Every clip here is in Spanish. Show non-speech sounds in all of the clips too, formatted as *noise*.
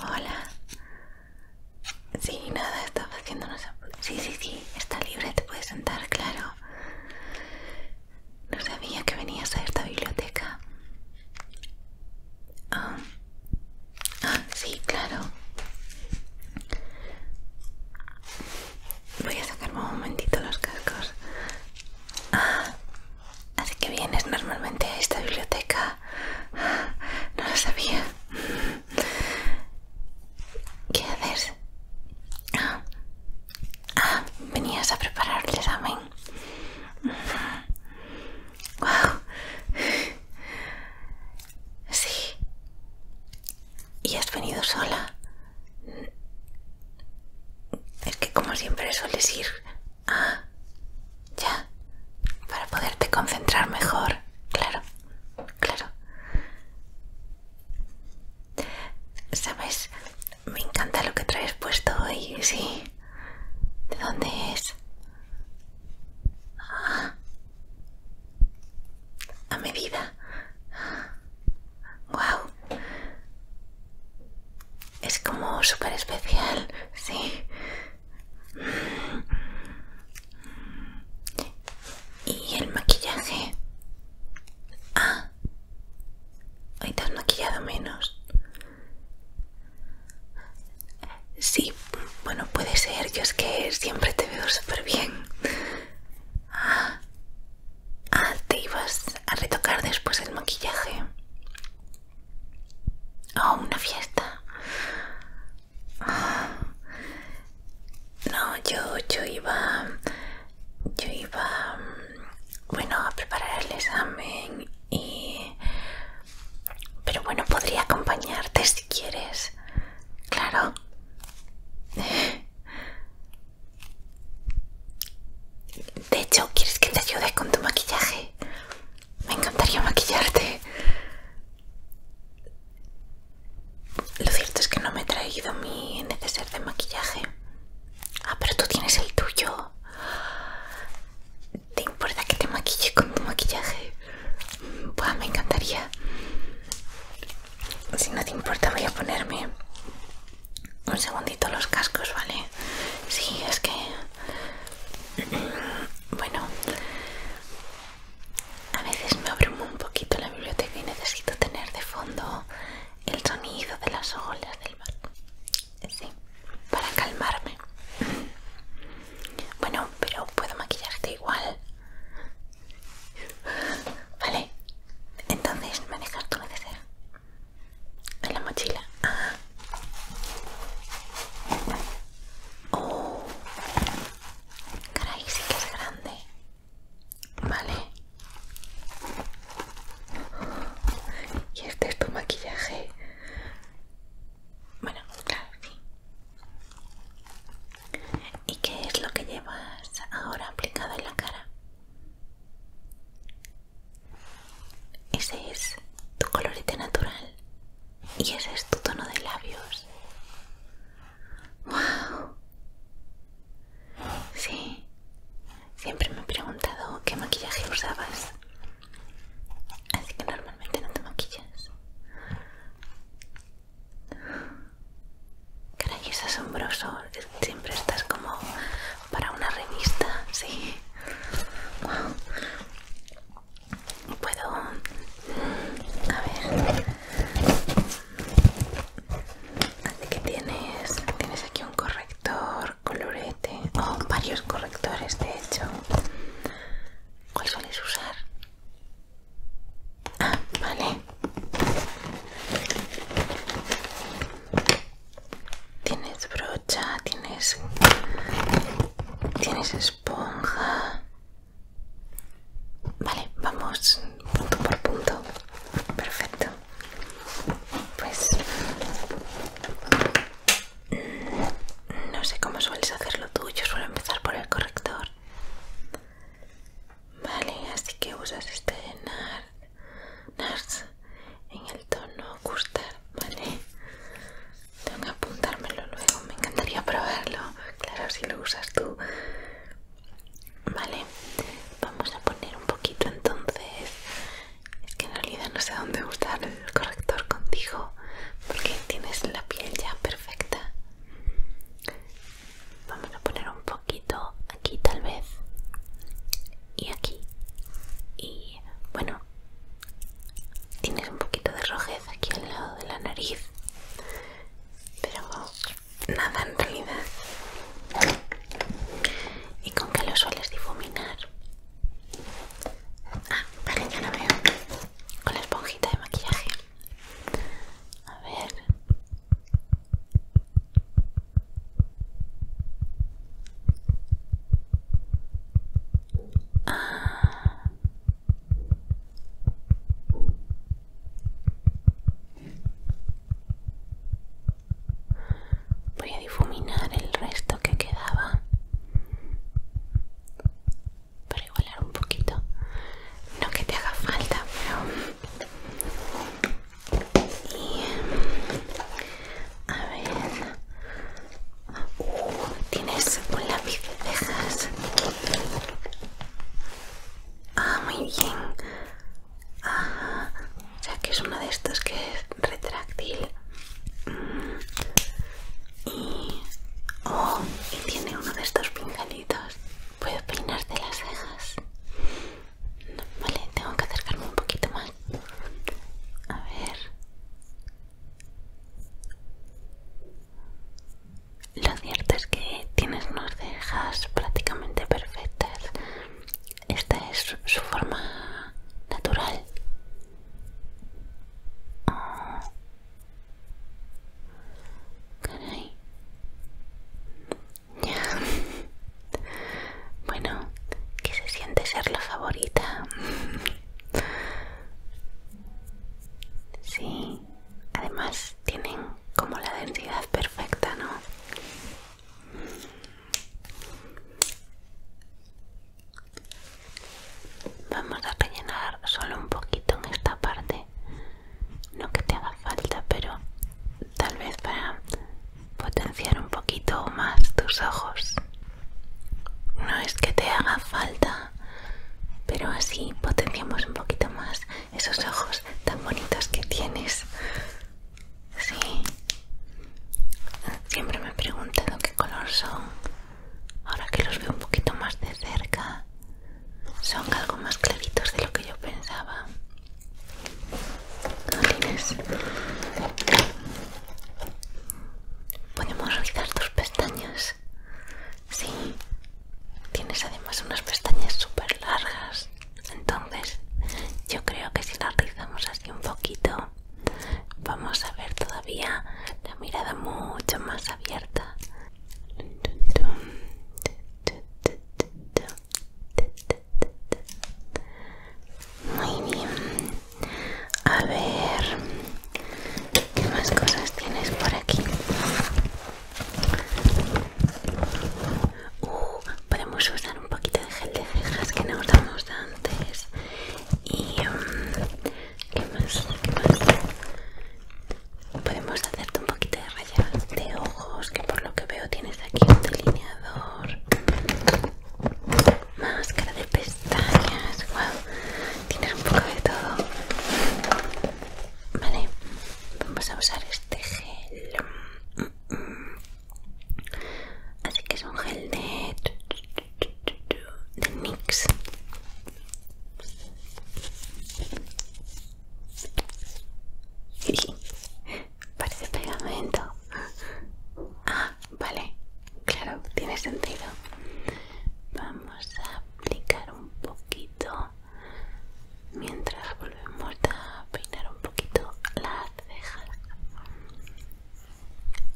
Hola. Sí, nada, estaba haciendo Sí, sí, sí, está libre, te puedes sentar, claro. No sabía que venías a esta biblioteca. Ah, sí, claro. Voy a sacarme un momentito los cascos. Ah, Así que vienes normalmente a esta biblioteca. No lo sabía. ¿Qué haces? Ah, ah venías a preparar el examen. Sí. ¿Y has venido sola? Es que como siempre sueles ir Ah, ya. Para poderte concentrar mejor. Claro, claro. ¿Sabes? Me encanta lo que traes puesto hoy, sí. ¿De dónde es? Ah. A medida wow es como súper especial sí y el maquillaje ah hoy te has maquillado menos sí bueno puede ser yo es que siempre te veo súper bien ah te ibas a retocar después el maquillaje. a una fiesta. No, yo, yo iba. Yo iba. Bueno, a preparar el examen y. Pero bueno, podría acompañarte si quieres. Claro. De hecho, ¿quieres que te ayude con tu maquillaje? Me encantaría maquillarte. Lo cierto es que no me he traído mi neceser de maquillaje. Ah, pero tú tienes el tuyo. ¿Te importa que te maquille con tu maquillaje? Pues me encantaría. Si no te importa voy a ponerme un segundito los cascos, ¿vale? Sí, es que... Bueno, a veces me abrumo un poquito la biblioteca y necesito tener de fondo el sonido de las olas del mar. Sí, para calmarme. Bueno, pero puedo maquillarte igual. Vale, entonces me dejas tu en la mochila. Ah. Oh. Caray, sí que es grande. Vale. Y este es tu maquillaje. Bueno, claro, sí. ¿Y qué es lo que llevas ahora aplicado en la cara? Ese es tu colorito natural y ese es tu tono de labios. ¡Wow! Sí, siempre me he preguntado qué maquillaje usabas. Así que normalmente no te maquillas. Caray, es asombroso. Siempre estás como para una revista, sí. Wow. Puedo. A ver. qué tienes, tienes aquí un corrector colorete. o oh, varios correctores, de hecho. ¿Cuál sueles usar? Ah, vale. Tienes brocha, tienes... Tienes esponja. Vale, vamos punto por punto. Perfecto. Pues... Mm, no sé cómo sueles hacerlo tú, yo suelo empezar por el corrector. Vale, así que usas este NARS en el tono gustar, ¿vale? Tengo que apuntármelo luego, me encantaría probarlo, claro, si lo usas tú. Vale, vamos a poner un poquito entonces. Es que en realidad no sé dónde usar el corrector contigo, porque tienes la piel ya perfecta. Vamos a poner un poquito aquí tal vez y aquí y bueno tienes un poquito de rojez aquí al lado de la nariz pero nada en realidad y con que lo sueles difuminar ah vale ya no veo con la esponjita de maquillaje a ver Voy a difuminar el resto que quedaba para igualar un poquito. No que te haga falta, pero y, a ver, uh, tienes un lápiz de cejas. Ah, muy bien. Ya O que es uno de estos que es retráctil. Mm. Y, oh, y tiene uno de estos pincelitos. Puedo peinarte las cejas. Vale, tengo que acercarme un poquito más. A ver. Lo cierto es que tienes unas cejas prácticamente perfectas. Esta es su forma natural. Ah. Caray. Ya. *laughs* Bueno, que se siente ser la favorita. *laughs* Sí, además tienen como la densidad perfecta, ¿no? Vamos a rellenar solo un poquito en esta parte. No que te haga falta, pero tal vez para potenciar un poquito más tus ojos. No es que te haga falta, pero así potenciamos un poquito más esos ojos tan bonitos que tienes. Sí. Siempre me he preguntado qué color son. Ahora que los veo un poquito más de cerca, son algo más claritos de lo que yo pensaba. ¿Podemos realizar tus pestañas? Sí. Tienes además unas pestañas súper largas. Entonces, yo creo que si las rizamos así un poquito, vamos a ver todavía la mirada mucho más abierta. Muy bien. A ver, ¿qué más cosas tienes por aquí? Uh, podemos usar un poquito de gel de cejas que no usamos antes. Y ¿qué más? Podemos hacerte un poquito de rayas de ojo que por lo que veo tienes aquí un delineador, máscara de pestañas, wow, tienes un poco de todo. Vale, vamos a usar este gel. Así que es un gel de, de NYX. Parece pegamento. Ah, vale. Claro, tiene sentido. Vamos a aplicar un poquito mientras volvemos a peinar un poquito las cejas.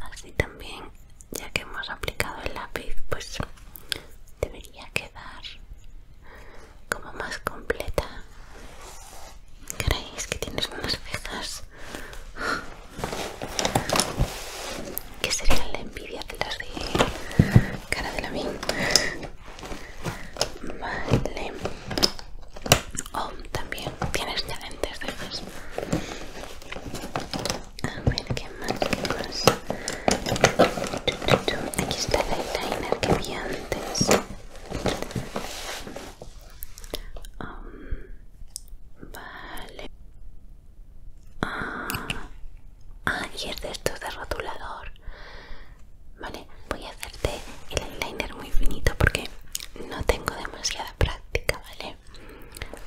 Así también, ya que hemos aplicado el lápiz, pues debería quedar como más completa Caray, es que tienes unas cejas. que sería la envidia de las de cara de la mía? Vale. Oh, también tienes excelentes cejas. A ver, ¿qué más? Aquí está el eyeliner que vi antes. Um, vale. Ah, ah, y es de estos de rotulador. Vale, voy a hacerte el eyeliner muy finito porque no tengo demasiada práctica, ¿vale?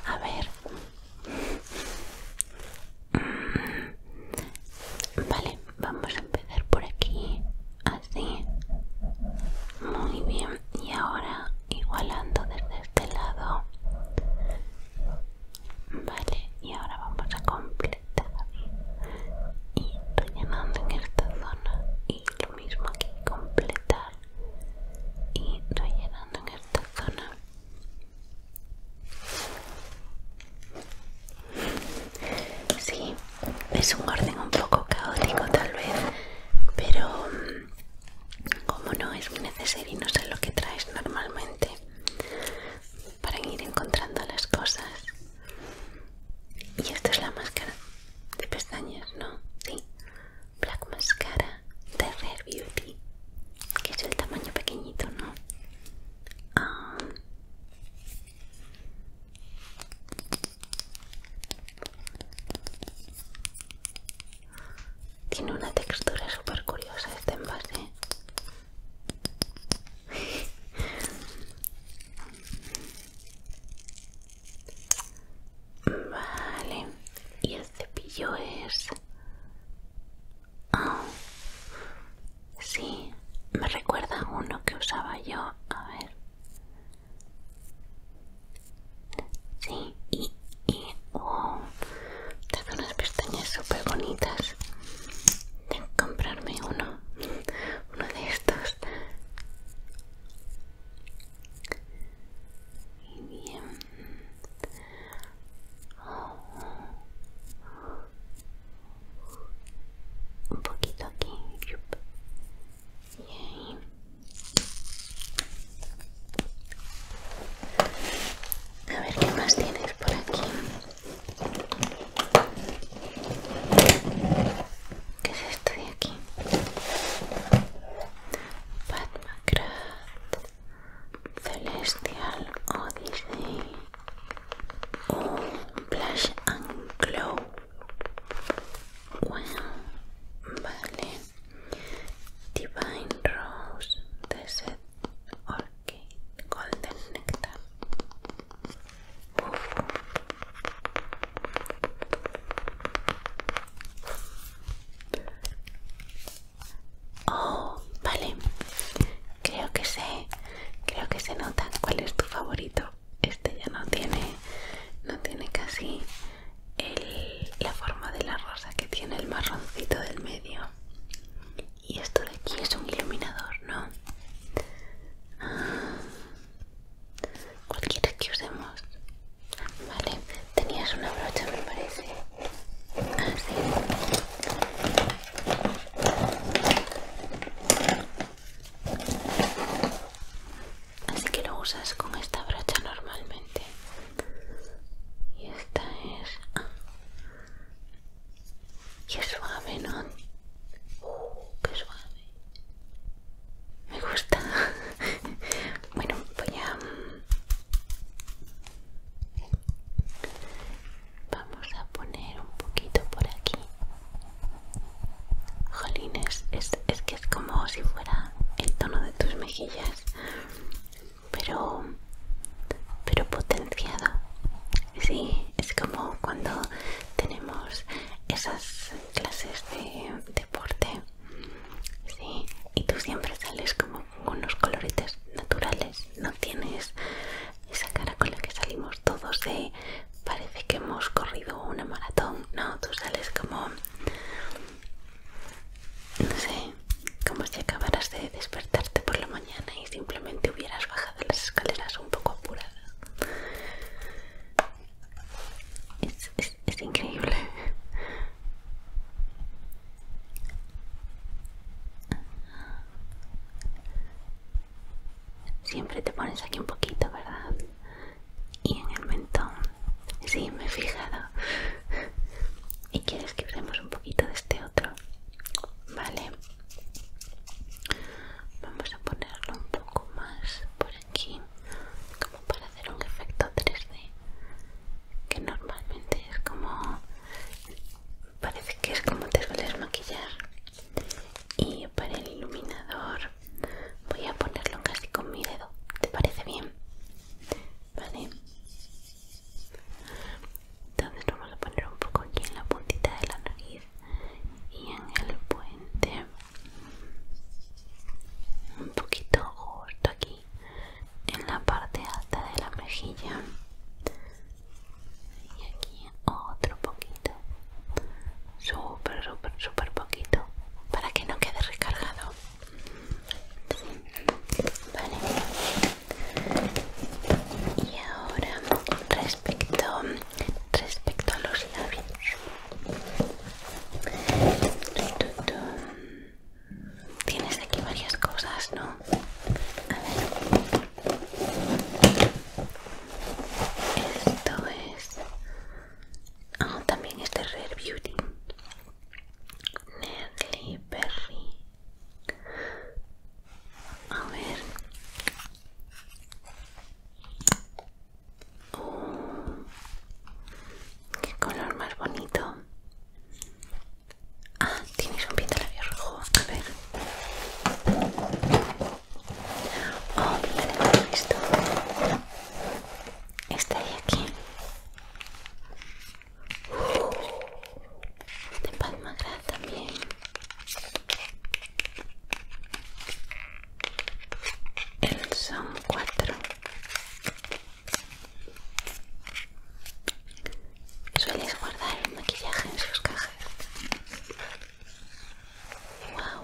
A ver. Mm, vale, vamos a empezar por aquí así muy bien y ahora igualando desde este lado vale y ahora vamos a completar y rellenando en esta zona y lo mismo aquí completar y rellenando en esta zona Sí, es un orden un poco caótico tal vez, pero mm, como no es muy necesario y no sé lo que traes normalmente para ir encontrando las cosas. Y esto es la máscara de pestañas, ¿no? Sí. Black Mascara de Rare Beauty, que es el tamaño pequeñito, ¿no? Ah. Tiene una textura súper curiosa este envase. Vale, y el cepillo es... Oh. Sí, me recuerda uno que usaba yo. A ver. Sí, y, y oh, unas pestañas super bonitas. Tengo que comprarme uno, uno de estos un poquito aquí y a ver qué más tienes por aquí qué es esto de aquí Batmacraft Celestial Odyssey O Blush and Glow bueno, vale. Divine Rose, Desert Orchid, Golden Nectar. Uf. Oh, vale. Creo que sé, creo que se nota cuál es tu favorito este ya no tiene no tiene casi la forma de la rosa que tiene el marroncito del medio y esto de aquí es un iluminador no ah, cualquiera que usemos vale tenías una brocha me parece así ah, Así que lo usas con esta brocha normalmente. Y esta es... Ah, y es suave, ¿no? Uh, ¡Qué suave! Me gusta. *laughs* bueno, voy a... Mm, vamos a poner un poquito por aquí. Jolines, es, es que es como si fuera el tono de tus mejillas, pero, pero Sí, es como cuando tenemos esas clases de deporte. Sí, y tú siempre sales como con unos coloritos naturales, no tienes esa cara con la que salimos todos de parece que hemos corrido una maratón, ¿no? Tú sales como, no sé, como si acabaras de despertarte por la mañana y simplemente hubieras bajado las escaleras un poco apuradas. Es, es increíble. Siempre te pones aquí un poquito, ¿verdad? Y en el mentón. Sí, me he fijado. ¿Y quieres que usemos un poquito de este otro? Vale. Vamos a ponerlo un poco más por aquí, como para hacer un efecto 3D. Que normalmente es como... Parece que es como te sueles maquillar. Y para el iluminador voy a ponerlo casi con mi dedo te parece bien vale entonces vamos a poner un poco aquí en la puntita de la nariz y en el puente un poquito justo aquí en la parte alta de la mejilla y aquí otro poquito súper súper súper poquito para que no quede recargado vale y ahora respecto respecto a los labios Tienes aquí varias cosas, ¿no? A ver. Esto es. Ah, también este de Rare Beauty. Nerly Berry. A ver. Oh, qué color más bonito. Ah, tienes un pintalabios rojo. A ver. Oh, tenemos esto. Está ahí aquí. De Palma también. El son cuatro. ¿Sueles guardar el maquillaje en sus cajas? Wow.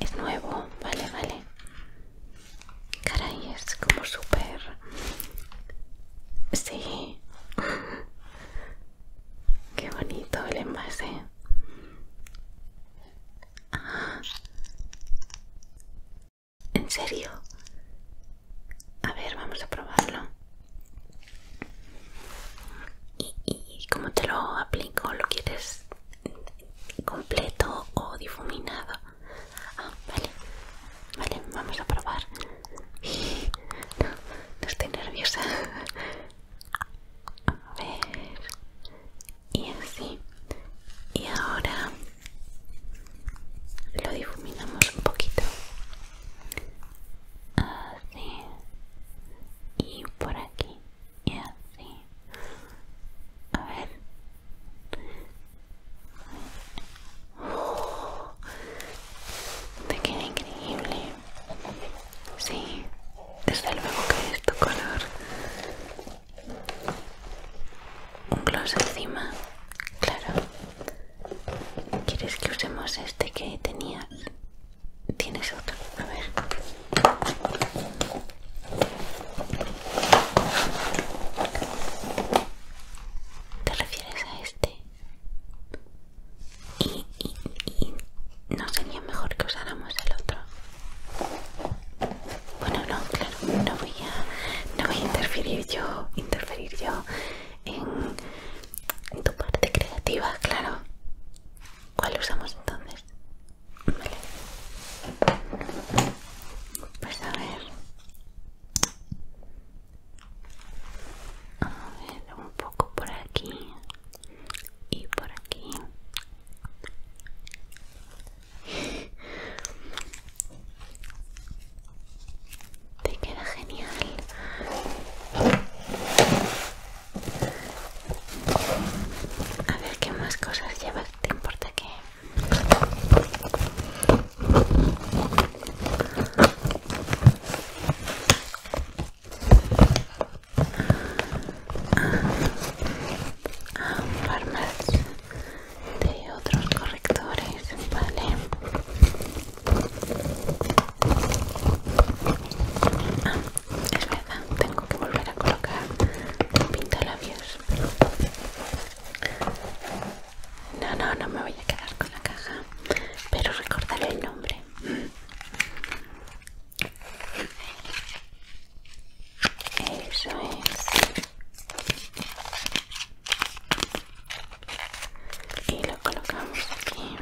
es, nuevo, vale, vale. Caray, es como súper... Sí. *laughs* Qué bonito el envase. Ah. ¿En serio? A ver, vamos a probarlo. ¿Y, cómo te lo aplico? ¿Lo quieres completo o difuminado? Ah, vale. Vale, vamos a probar. *laughs* No, no estoy nerviosa. *laughs* A ver. Y así. Y ahora lo difuminamos un poquito así y por aquí y así a ver oh, te queda increíble sí desde luego que es tu color un gloss encima claro ¿Quieres que usemos este que tenías? Tienes otro, a ver. ¿Te refieres a este? Y, no sería mejor que usáramos el otro. Bueno, no, claro, no voy a, no voy a interferir yo, interferir yo en tu parte creativa, claro. ¿Cuál usamos entonces? Vale. Pues a ver. A ver, un poco por aquí y por aquí. Te queda genial. A ver qué más cosas llevas. ¿Te importa que? par más de otros correctores, vale. Ah, es verdad, tengo que volver a colocar un pintalabios. No, no, no me voy a quedar con la caja, pero recordaré el nombre. Eso es y lo colocamos aquí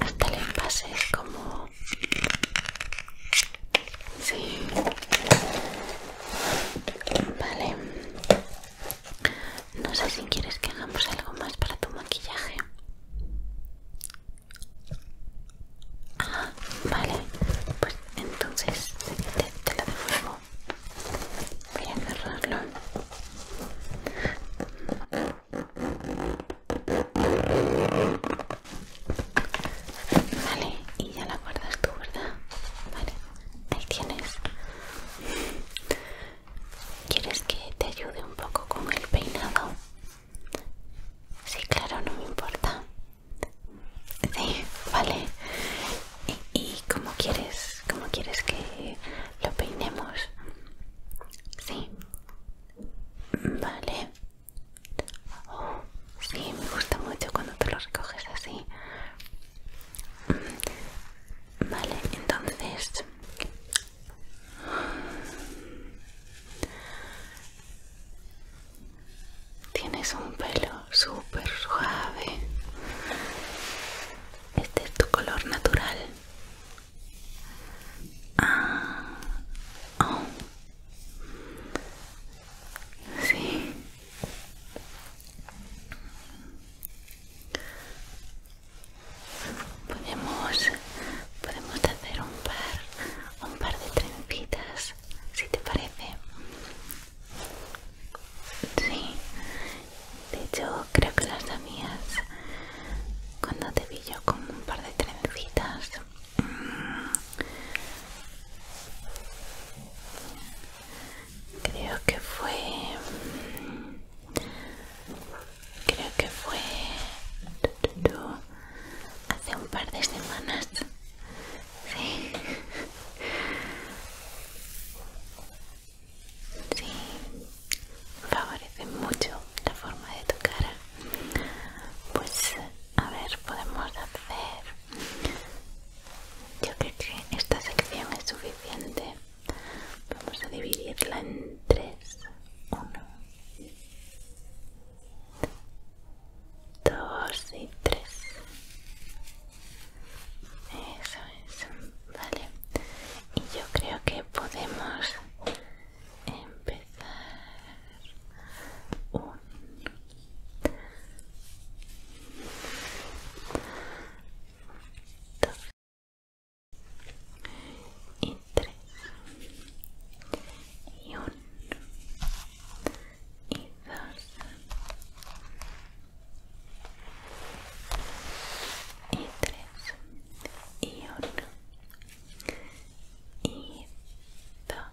hasta el envase es como Sí. Vale. No sé si quieres que hagamos algo más para tu maquillaje. Ah, vale. Pues entonces te, lo devuelvo. Voy a cerrarlo. Vale, y ya la guardas tú, ¿verdad? Vale, ahí tienes. ¿Quieres que te ayude un poco con el peinado? Sí, claro, no me importa. Sí, vale. ¿Y, cómo quieres? ¿Cómo quieres que lo peinemos? Sí. Vale. Oh, sí, me gusta mucho cuando te lo recoges así. Mm, vale, entonces... Tienes un pelo súper suave. Este es tu color natural. Ah, oh. Sí. Podemos, podemos hacer un par, un par de trencitas, si te parece. Sí. De hecho, creo que las mías cuando te vi yo con un par de trencitas creo que fue creo que fue hace un par de semanas sí sí favorece mucho la forma de tu cara pues a ver, podemos hacer... Yo creo que esta sección es suficiente. Vamos a dividirla en tres. Uno, dos y tres. Eso es, vale. Y yo creo que podemos empezar un dos y tres y uno y dos y tres y uno y dos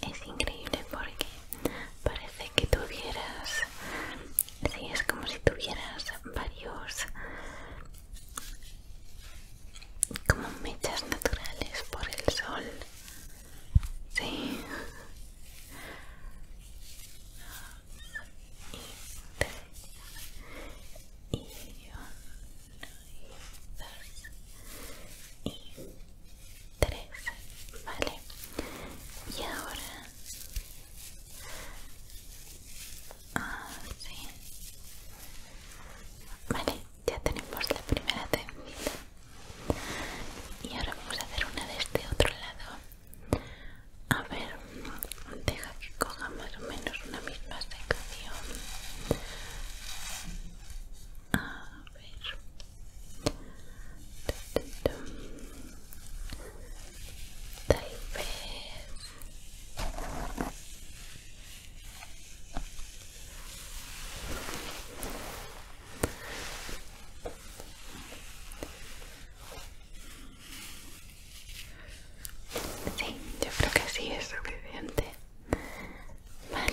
Es increíble porque parece que tuvieras... Sí, es como si tuvieras varios... Como mechas naturales por el sol. Sí. Y... Y... 3 vale y ahora así ah, vale ya tenemos la primera tendida y ahora vamos a hacer una de este otro lado a ver deja que coja más o menos una misma sección ah, Sí, yo creo que así es suficiente. Vale,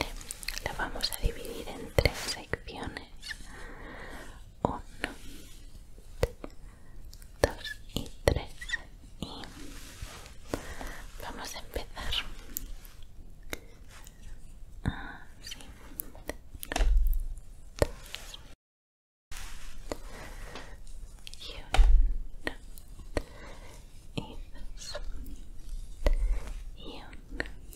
lo vamos a dividir en tres secciones. 1 2 y 3 y vamos a empezar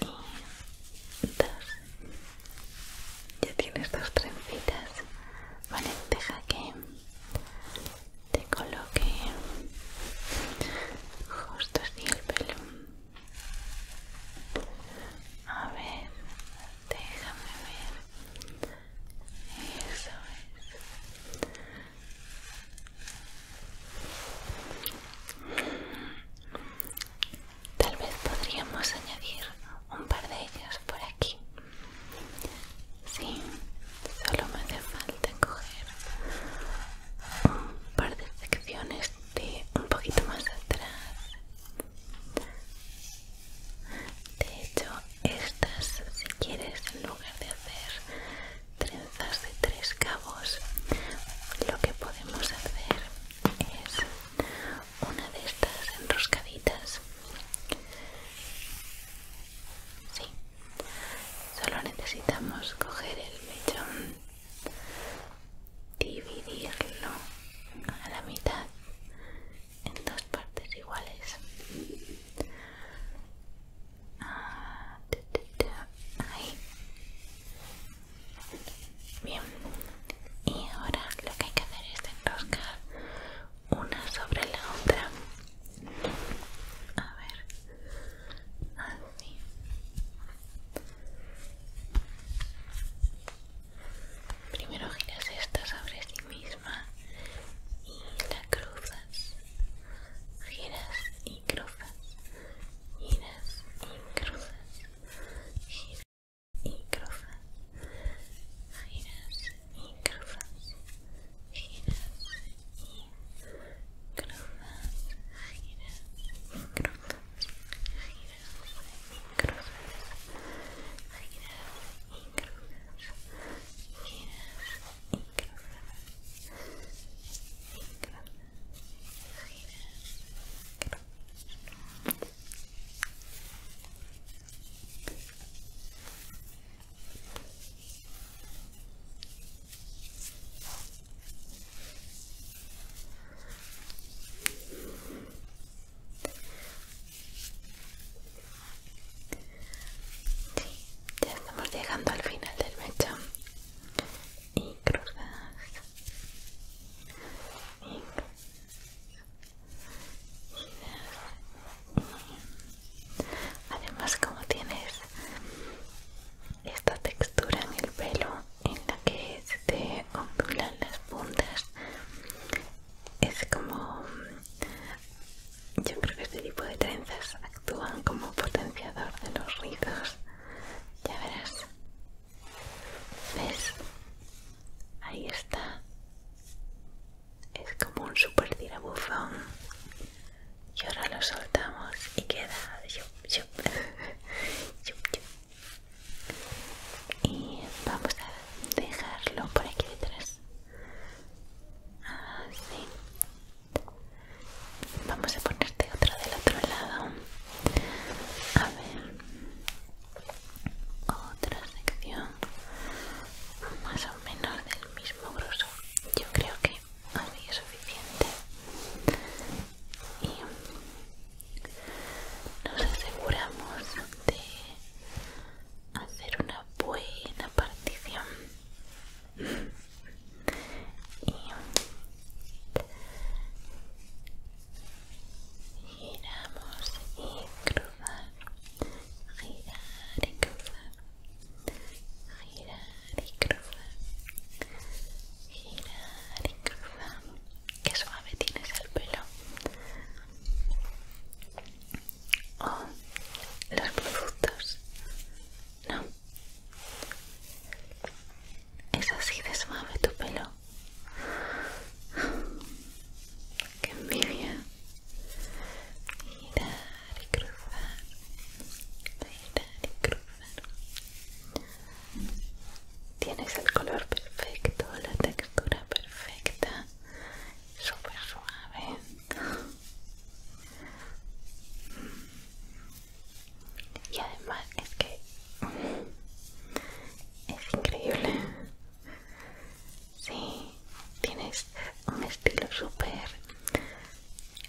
dos ya tienes dos trencitas vale deja que te coloque justo así el pelo a ver déjame ver eso es Tal vez podríamos añadir un par de ellas por aquí. Sí, solo me hace falta coger un par de secciones de un poquito más atrás. De hecho, estas, si quieres, en lugar de hacer trenzas de tres cabos lo que podemos hacer es una de estas enroscaditas sí solo necesitamos coger el mechón dividirlo a la mitad en dos partes iguales Bien. Y ahora lo que hay que hacer es enroscar una sobre la otra. A ver. Así. Primero giras esta sobre sí misma y la cruzas. Giras y cruzas, giras y cruzas, y ya estamos llegando al final del mechón y cruzas y Además, como tienes esta textura en el pelo en la que se te ondulan las puntas, es como. Yo creo que este tipo de trenzas actúan como potenciador de los rizos. Ya verás. ¿Ves? Ahí está. Es como un super tirabuzón. Y ahora lo soltamos y queda. *laughs* Y vamos a dejarlo por aquí detrás. Así. Ah, Vamos a ponerte otra del otro lado. A ver. Otra sección. Más o menos del mismo grosor. Yo creo que así es suficiente. Y nos aseguramos de hacer una buena partición y giramos y cruzamos girar y cruzar girar y cruzar girar y cruzar que suave tienes el pelo o los productos no es así de suave tu pelo. Qué envidia. Mirar y cruzar. Mirar y cruzar. Tienes el color perfecto, la textura perfecta, súper suave y además es que es increíble sí tienes un estilo súper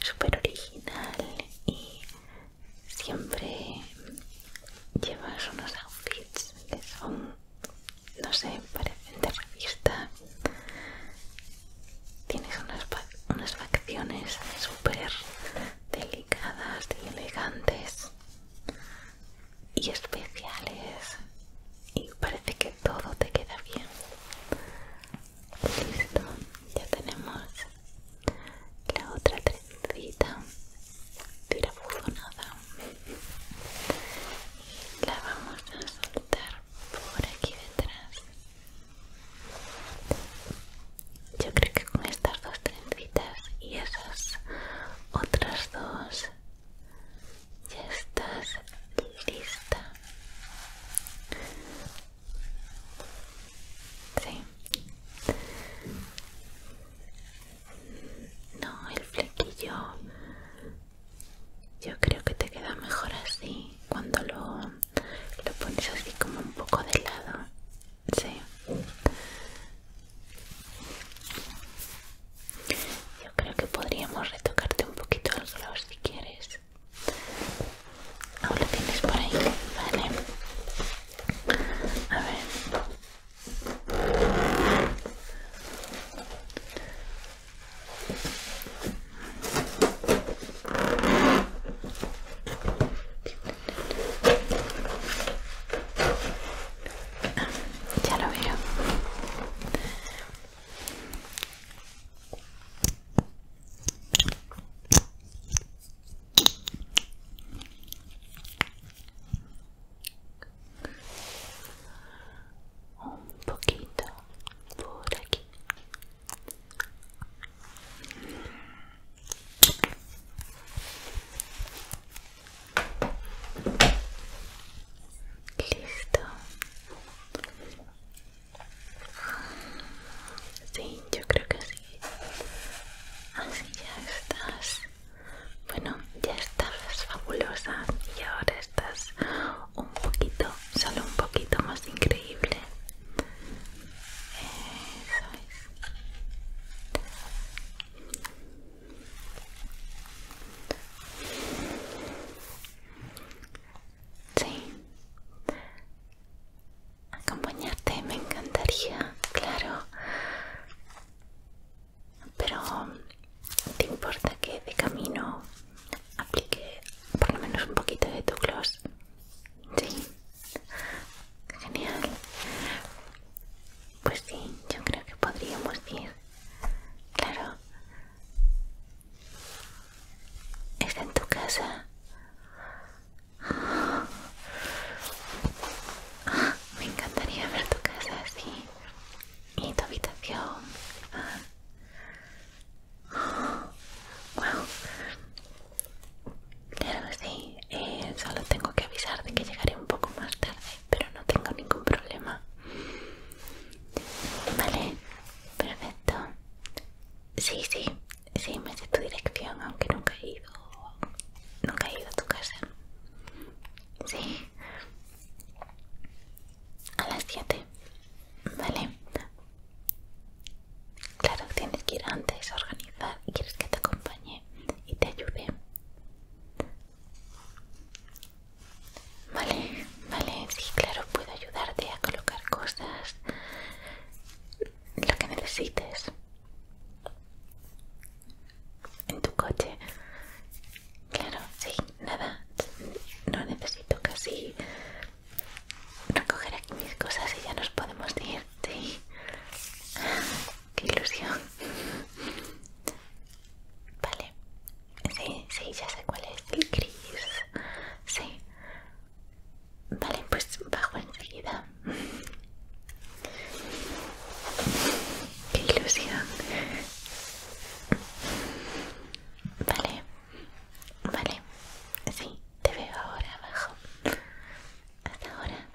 súper original y siempre llevas unos outfits que son no sé parecen de revista Tienes unas, facciones súper delicadas y elegantes y especiales y parece que todo te queda bien. Listo, ya tenemos la otra trencita tirabuzonada y la vamos a soltar por aquí detrás yo creo que con estas dos trencitas y esas otras dos ya estás lista. Sí. No, el flequillo. Yo creo que te queda mejor así cuando lo lo pones así como un poco de lado sí yo creo que podríamos retocarte un poquito los lados si quieres ahora tienes por ahí vale a ver ya lo veo. Un poquito por aquí. Listo. Sí, yo creo que sí Así ya estás. Bueno, ya estás fabulosa y ahora estás un poquito, solo un poquito más increíble. Sí. Acompañarte me encantaría, claro. Pero te importa que de camino aplique por lo menos un poquito de tu gloss Sí, genial. Pues sí, yo creo que podríamos ir. Claro. Está en tu casa. me encantaría ver tu casa así. Y tu habitación. Ah. Wow. Claro, sí. solo tengo que avisar de que llegaré un poco más tarde, pero no tengo ningún problema. Vale, perfecto. Sí, sí, sí, me sé tu dirección, aunque nunca he ido, nunca he ido a tu casa. Sí. A las 7. Vale. Claro, tienes que ir antes a organizar y quieres que te acompañe y te ayude. Vale, vale, sí, claro, puedo ayudarte a colocar cosas, lo que necesites en tu coche. Claro, sí, nada, no necesito casi recoger aquí mis cosas y ya nos podemos ir. Sí. Qué ilusión. Vale. Sí, sí, ya sé cuál es. El gris. Sí. Vale, pues bajo enseguida. Qué ilusión. Vale. Vale. Sí. Te veo ahora abajo. Hasta ahora.